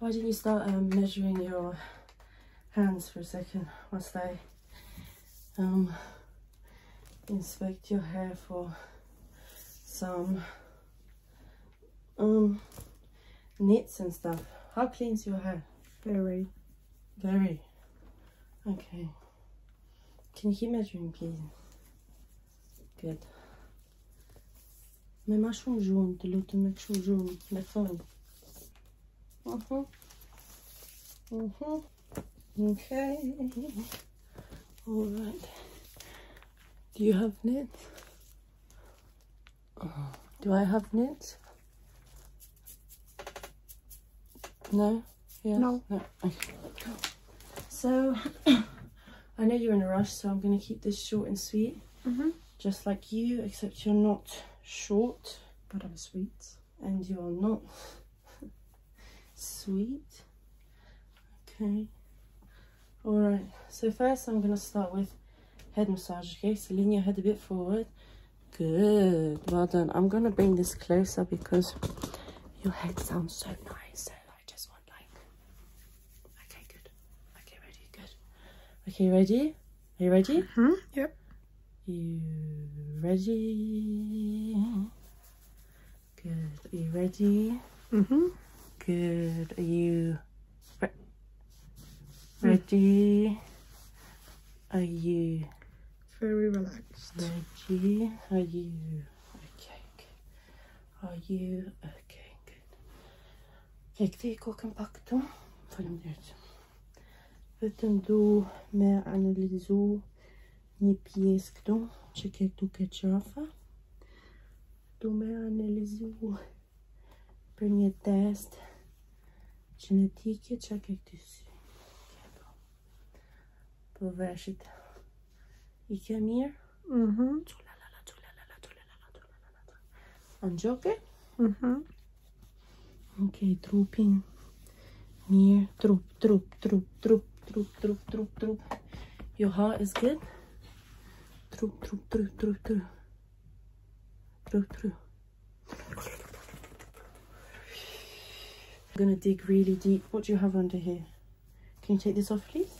Why do not you start um, measuring your hands for a second whilst I um, inspect your hair for some um, knots and stuff? How clean is your hair? Very. Very. Okay. Can you keep measuring, please? Good. Mais ma junto, luta me junto, me fala. Uhum. Uhum. Okay. All right. Do you have knits? Do I have knits? No? Yes? No. So, I know you're in a rush, so I'm going to keep this short and sweet. Mm-hmm. Just like you, except you're not short. But I'm sweet. And you're not sweet. Okay. Alright, so first I'm going to start with head massage, okay? So lean your head a bit forward. Good, well done. I'm going to bring this closer because your head sounds so nice. I just want like. Okay, good. Okay, ready, good. Okay, ready? Are you ready? -hmm. Yep. You ready? Good. Are you ready? hmm Good. Are you mm. ready? Are you very relaxed? Ready? Are you okay? okay. Are you okay? Good. Okay, këtë i kokën pak këtu. Falem dhe Vetëm du me analizu një pjesë këtu, që ke këtu ke qafa. Du me analizu për një test genetike që ke këtu si. Po. po veshit i ke mirë. Mm-hmm. Anjoke? Mm-hmm. Okay, trooping. Mir, troop, troop, troop, troop, troop, troop, troop, troop. Your heart is good? Troop, troop, troop, troop, troop. Troop, troop. I'm gonna dig really deep. What do you have under here? Can you take this off, please?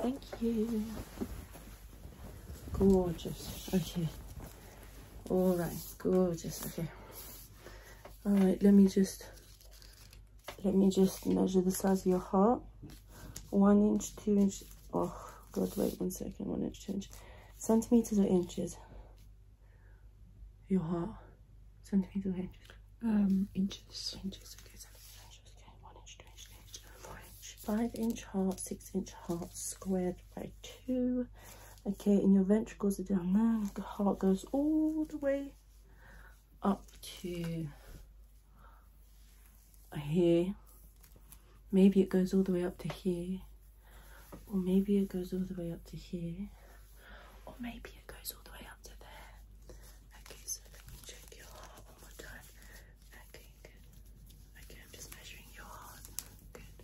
Thank you. Gorgeous. Okay. All right. Gorgeous. Okay. All right. Let me just let me just measure the size of your heart. One inch, two inch. Oh God, wait one second. One inch, two inch. Centimeters or inches? Your heart centimeters inches? Um, inches. okay, one inch, two inch, Five inch heart, six inch heart squared by two. Okay, and your ventricles are down there. The heart goes all the way up to here. Maybe it goes all the way up to here. Or maybe it goes all the way up to here or maybe it goes all the way up to there. Okay, so let me check your heart one more time. Okay, good. Okay, I'm just measuring your heart. Good.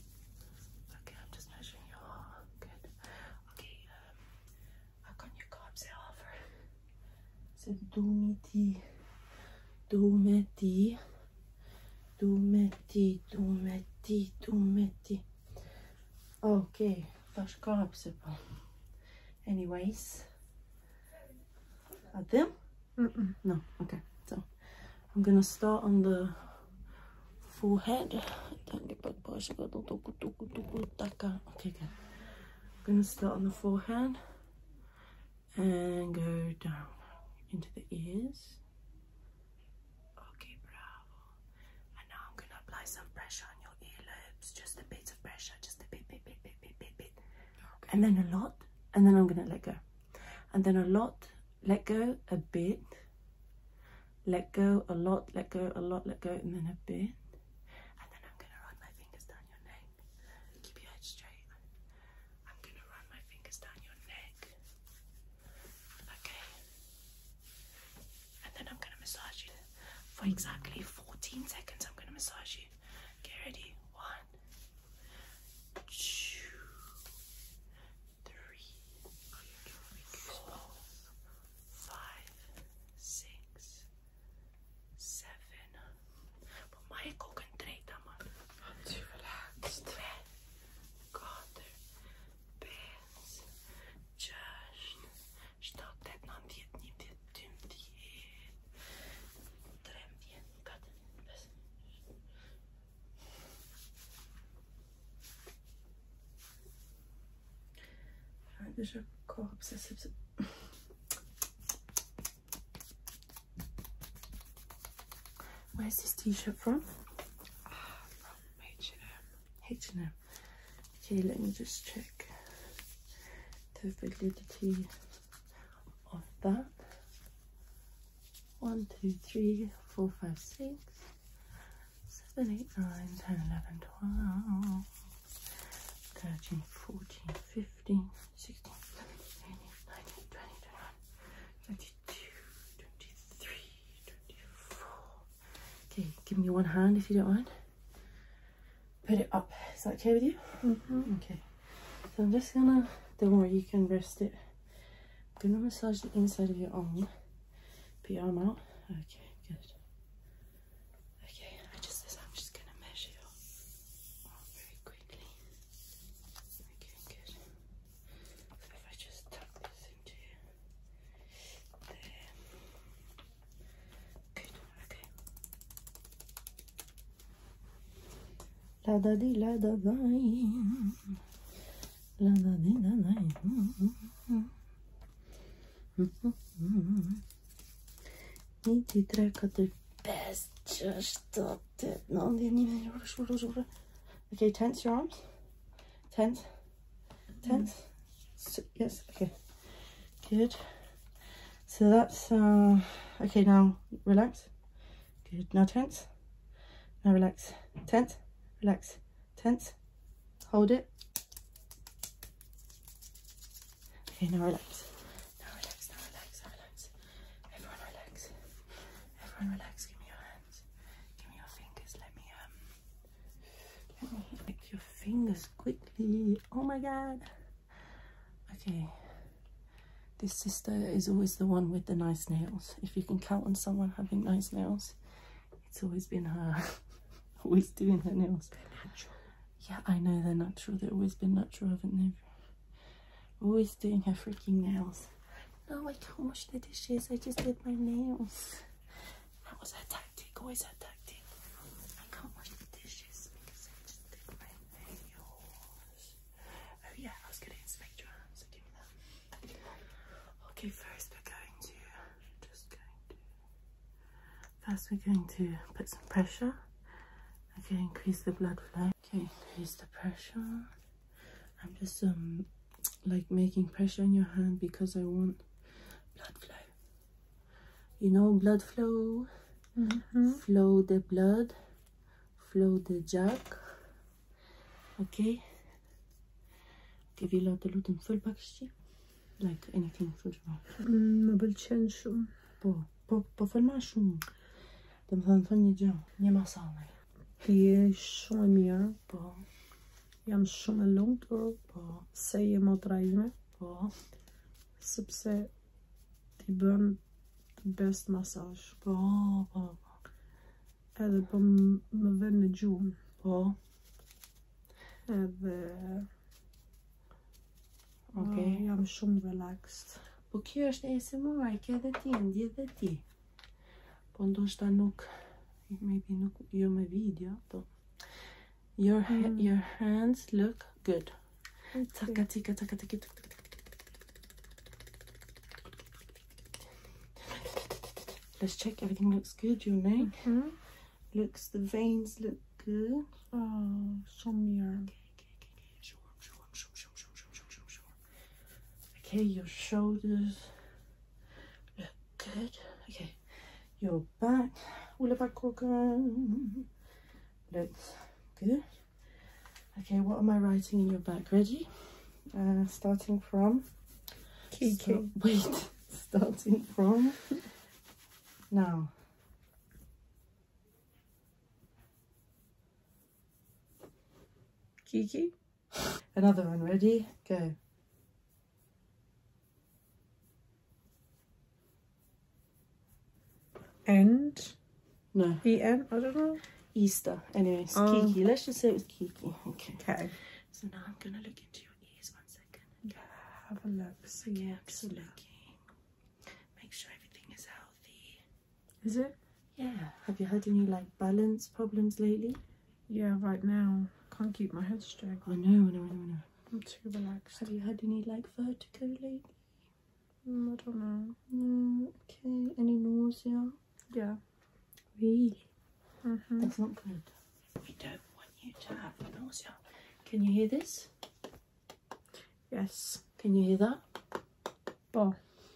Okay, I'm just measuring your heart. Good. Okay, um, how can your carbs offer? So do me tea. Do me tea. Do me tea. Do me Okay başka hapse yapalım. Anyways. At them? No. Okay. So I'm gonna start on the forehead. Okay, I'm gonna start on the forehead and go down into the ears. Okay, bravo. And now I'm gonna apply some pressure on your earlobes, just a bit of pressure, just a bit, bit, bit, bit, bit, bit, And then a lot, and then I'm gonna let go. And then a lot, let go, a bit, let go, a lot, let go, a lot, let go, and then a bit. And then I'm gonna run my fingers down your neck. Keep your head straight. I'm gonna run my fingers down your neck. Okay and then I'm gonna massage you for exactly 14 seconds. I'm gonna massage you. Get ready. One, two, three, four, five, six, seven. But my concentrate, man. I'm too relaxed. God, just что ты нам дед не дед тем дед. Трем дед, как Hadi şu kop sesi. Where's this t-shirt from? Ah, from H&M. H&M. Okay, let me just check the validity of that. One, two, three, four, five, six, seven, eight, nine, ten, eleven, twelve, thirteen, fourteen, fifteen, sixteen, seventeen, eighteen, nineteen, twenty, twenty-one, twenty-two, twenty-three, twenty-four, Okay, give me one hand if you don't mind. Put it up. Is that okay with you? Mm-hmm. Okay. So I'm just gonna, don't you can rest it. I'm gonna massage the inside of your arm. Put your arm out. Okay, good. Okay, I just, I'm just gonna measure your very quickly. Okay, good. So if I just tap this into there. Good, okay. La da di la da dine. La da di da dine. Mm -hmm. I ti trekat the best just up the no, they didn't even rush, rush, rush. Okay, tense your arms. Tense tense. yes, okay, good. So that's, uh, okay, now relax. Good, now tense. Now relax, tense, relax, tense. Hold it. Okay, now relax. Now relax, now relax, now relax. Everyone relax. Everyone relax, give me your hand. Give me your fingers. Let me um let me lick your fingers quickly. Oh my god. Okay. This sister is always the one with the nice nails. If you can count on someone having nice nails, it's always been her. always doing her nails. They're natural. Yeah, I know they're natural. They've always been natural, haven't they? Always doing her freaking nails. No, I don't wash the dishes. I just did my nails. That was her tactic. Always her tactic. I can't wash the dishes because I just did my nails. Oh yeah, I was going to inspect your arms. Okay, first we're going to just going to. First, we're going to put some pressure. Okay, increase the blood flow. Okay, increase the pressure. I'm just um like making pressure on your hand because I want blood flow. You know, blood flow, mm -hmm. flow the blood, flow the jack. Okay. تبي لا تلوتن full package like anything full ما بالتشن شو بو بو بو فالما شو تم فان فني جو nie ma samej Je shumë e mirë, po. Jam shumë e lumtur, po. Se je motra ime, po. Sepse ti bën the best massage, po. po. po. Edhe po më vën në gjumë, po. Edhe Okej, ah, jam shumë relaxed. Po kjo është e se më kjo edhe ti, ndje dhe ti. Po ndoshta nuk maybe nuk jo video, po your your hands look good. Let's check everything looks good. Your name. looks the veins look good. Oh, so mirror. Okay, your shoulders look good. Okay, your back, all back, corgan looks good. Okay, what am I writing in your back? Ready? Uh, starting from. Key, Wait, starting from now. Kiki? Another one, ready? Go. End? No. I I don't know. Easter. Anyways, oh. Kiki. Let's just say it was Kiki. Okay. Okay. So now I'm going to look into your ears one second. Yeah, have a look. So yeah, I'm just looking. Make sure everything is healthy. Is it? Yeah. Have you had any like balance problems lately? Yeah, right now. Can't keep my head straight. I know, I know, I know, I know. I'm too relaxed. Have you had any like vertigo lately? Mm, I don't know. okay. Any nausea? Yeah. Really? Mm -hmm. That's not good. We don't want you to have nausea. Can you hear this? Yes. Can you hear that? Bo.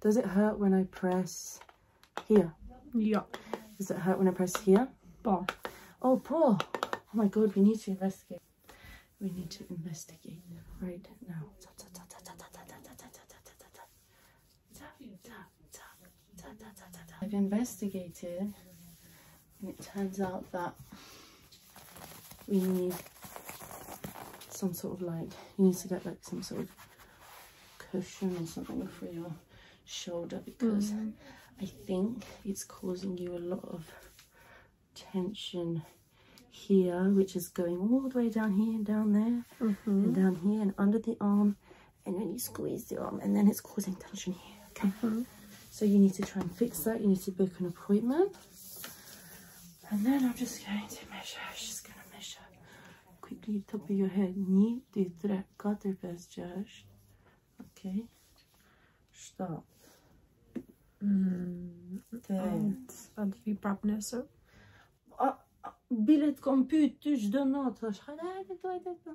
Does it hurt when I press here? Yeah. Does it hurt when I press here? Paw. Oh, paw. Oh my god, we need to investigate. We need to investigate right now. I've investigated it turns out that we need some sort of like, you need to get like some sort of cushion or something for your shoulder because mm-hmm. I think it's causing you a lot of tension here, which is going all the way down here and down there mm-hmm. and down here and under the arm. And then you squeeze the arm and then it's causing tension here, mm-hmm. So you need to try and fix that. You need to book an appointment. And then I'm just going to measure. I'm just going to measure quickly top of your head. Ni dütre kadar bezcaj. Okay. Stop. Evet. Hadi vi brabnese. Bilet kompytysh dënot, është hajde, hajde, hajde, hajde.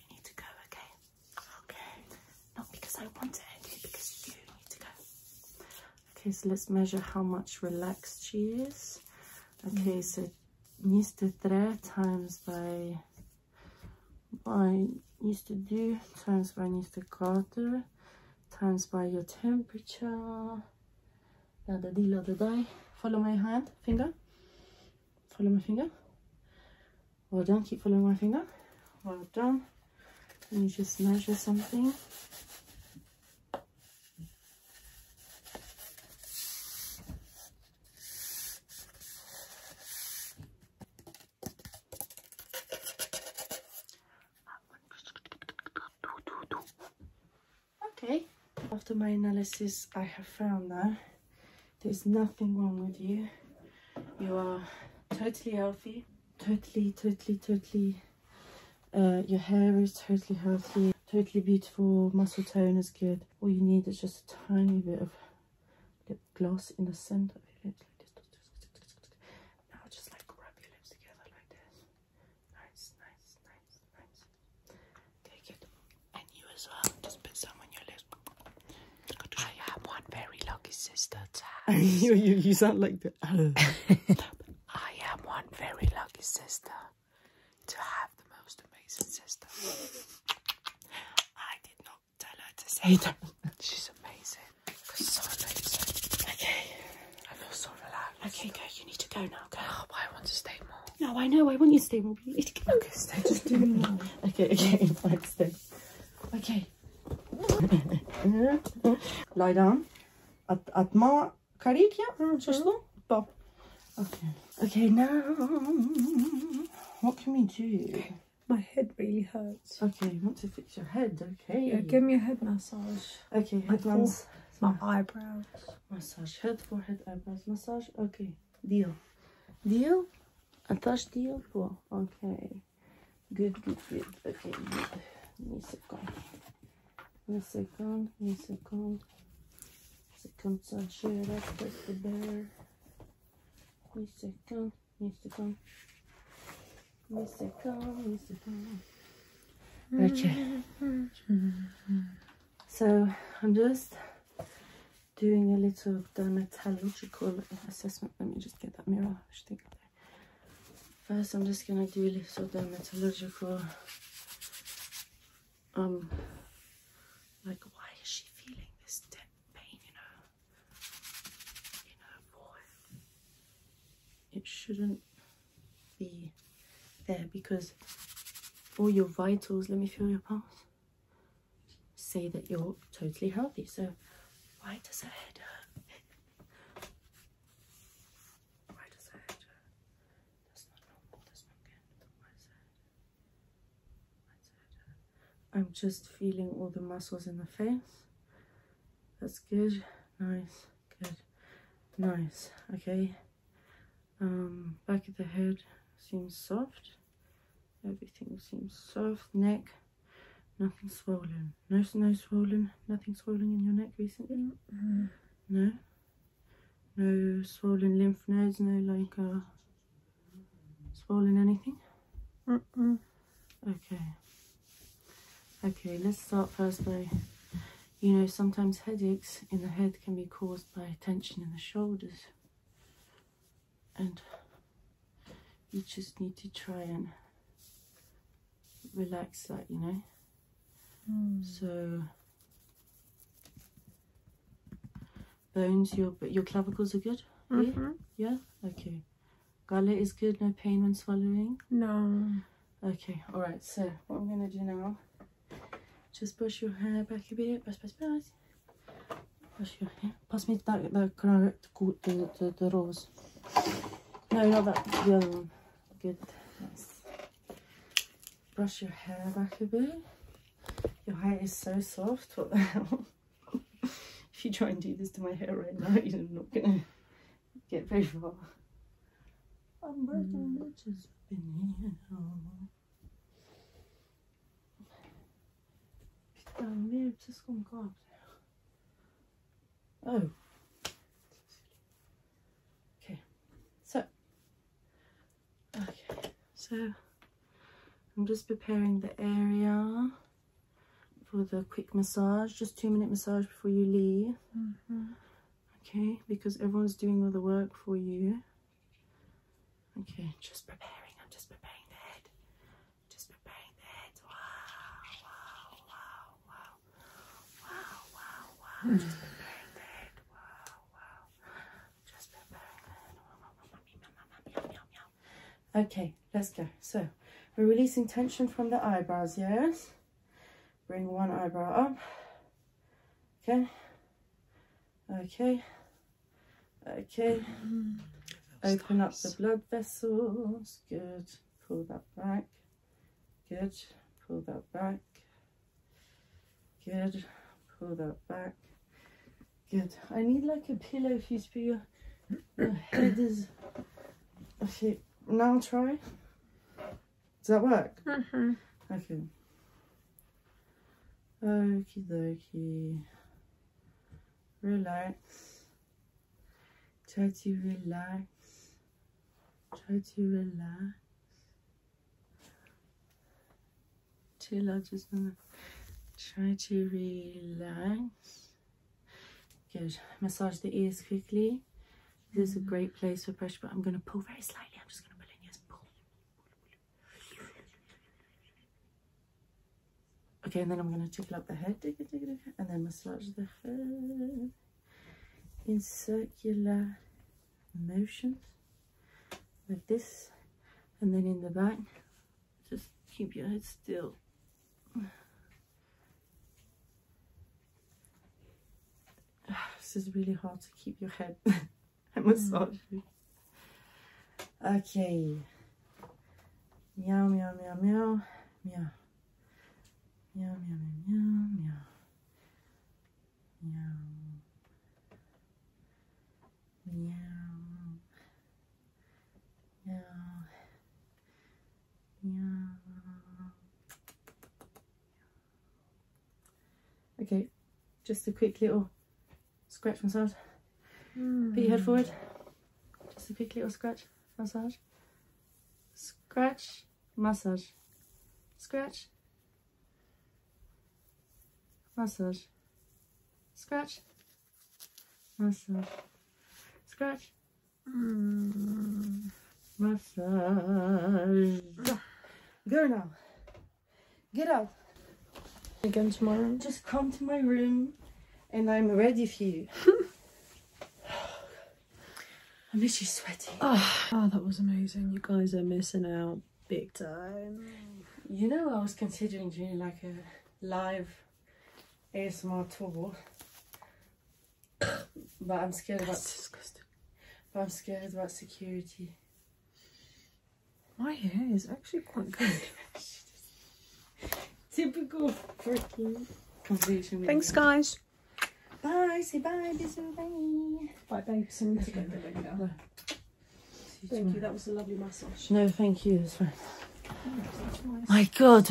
You need to go, okay? Okay. Not because I want it, because you need to go. Okay, so let's measure how much relaxed she is. Mm-hmm. Okay, so needs three times by by needs to do times by needs to times by your temperature. Da da da da da. Follow my hand, finger. Follow my finger. Well done, keep following my finger. Well done. Let me just measure something. Okay. After my analysis, I have found that there's nothing wrong with you. You are totally healthy. Totally, totally, totally. Uh, your hair is totally healthy. Totally beautiful. Muscle tone is good. All you need is just a tiny bit of lip gloss in the center. Now just like rub your lips together like this. Nice, nice, nice, nice. Take it. And you as well. Just put some on your lips. I am one very lucky sister you, sound like the. I am one very lucky sister to have the most amazing sister. I did not tell her to say that. She's amazing. So amazing. Okay. I feel so relaxed. Okay, girl, you need to go now. I want to stay more. No, I know. I want you to stay more. okay, stay. Just do more. okay, okay. Fine, stay. Okay. Lie down. At at ma karikja, mm mm-hmm. Bob. Okay. Okay, now what can we do? My head really hurts. Okay, you want to fix your head, okay? Yeah, give me a head massage. Okay, My eyebrows. Massage head, forehead, eyebrows, massage. Okay. Deal. Deal? A touch deal? Cool. Okay. Good, good, good. Okay, good. Give me a second. Give me a second. Give me a second. Second sachet. Let's place the bear. Give me a second. Give me a second. Give me a second. Give me a second. Okay. So I'm just doing a little dermatological assessment. Let me just get that mirror. First, I'm just going to do a little dermatological, um, like why is she feeling this deep pain, you know, in her boy? It shouldn't be there because all your vitals, let me feel your pulse, say that you're totally healthy. So why does her head hurt? why does her head hurt? That's not normal, that's not good. Why does her head hurt? I'm just feeling all the muscles in the face. That's good. Nice. Good. Nice. Okay. Um, back of the head seems soft. Everything seems soft. Neck, nothing swollen. No, no swollen. Nothing swollen in your neck recently. No. No swollen lymph nodes. No like uh, swollen anything. Okay. Okay, let's start first though you know, sometimes headaches in the head can be caused by tension in the shoulders. And you just need to try and relax that, you know. Hmm. So bones, your your clavicles are good. Mm -hmm. Yeah. Okay. Gala is good. No pain when swallowing. No. Okay. All right. So what I'm gonna do now just brush your hair back a bit. Brush, brush, brush. Brush your hair. Pass me that, that carrot, the, the, the rose. No, not that, the other one. Good. Brush your hair back a bit. Your hair is so soft. What the hell? if you try and do this to my hair right now, you're not going to get very far. I'm breaking mm. bitches up in here. Estão mesmo, preciso com um copo. Oh. Okay. So. Okay. So. I'm just preparing the area for the quick massage. Just two minute massage before you leave. Mm-hmm okay because everyone's doing all the work for you okay just preparing i'm just preparing the head just preparing the head wow wow wow wow wow wow wow just preparing the wow wow just preparing the head wow, wow, wow. okay let's go so we're releasing tension from the eyebrows yes bring one eyebrow up okay okay okay open up the blood vessels good pull that back good pull that back good pull that back good i need like a pillow for you for your head is okay now try does that work? Mm-hmm. Okay. Okie dokie. Relax. Try to relax. Try to relax. Till I just gonna try to relax. Good. Massage the ears quickly. This is a great place for pressure, but I'm going to pull very slightly. I'm just going to pull in. Yes, pull. Okay, and then I'm going to tickle up the head, and then massage the head in circular motions like this. And then in the back, just keep your head still. this is really hard to keep your head. I massage mm. you. Okay. Meow, meow, meow, meow, meow. Meow, meow, meow, meow, meow. Meow. Meow. Meow. Yeah. Okay, just a quick little scratch massage. Hmm. Put your head forward. Just a quick little scratch massage. Scratch massage. Scratch massage. Scratch massage. Scratch Mm. Massage. Go now. Get out. Again tomorrow? Just come to my room and I'm ready for you. I miss you sweating. Oh, ah, oh, that was amazing. You guys are missing out big time. You know, I was considering doing like a live ASMR tour but I'm scared That's about disgusting. But I'm scared about security. My hair is actually quite good. Typical freaking conversation. Thanks, guys. Bye. Say bye. Bisou, bye. Bye, Thank you. That was a lovely massage. No, thank you. That's fine. Oh, my God.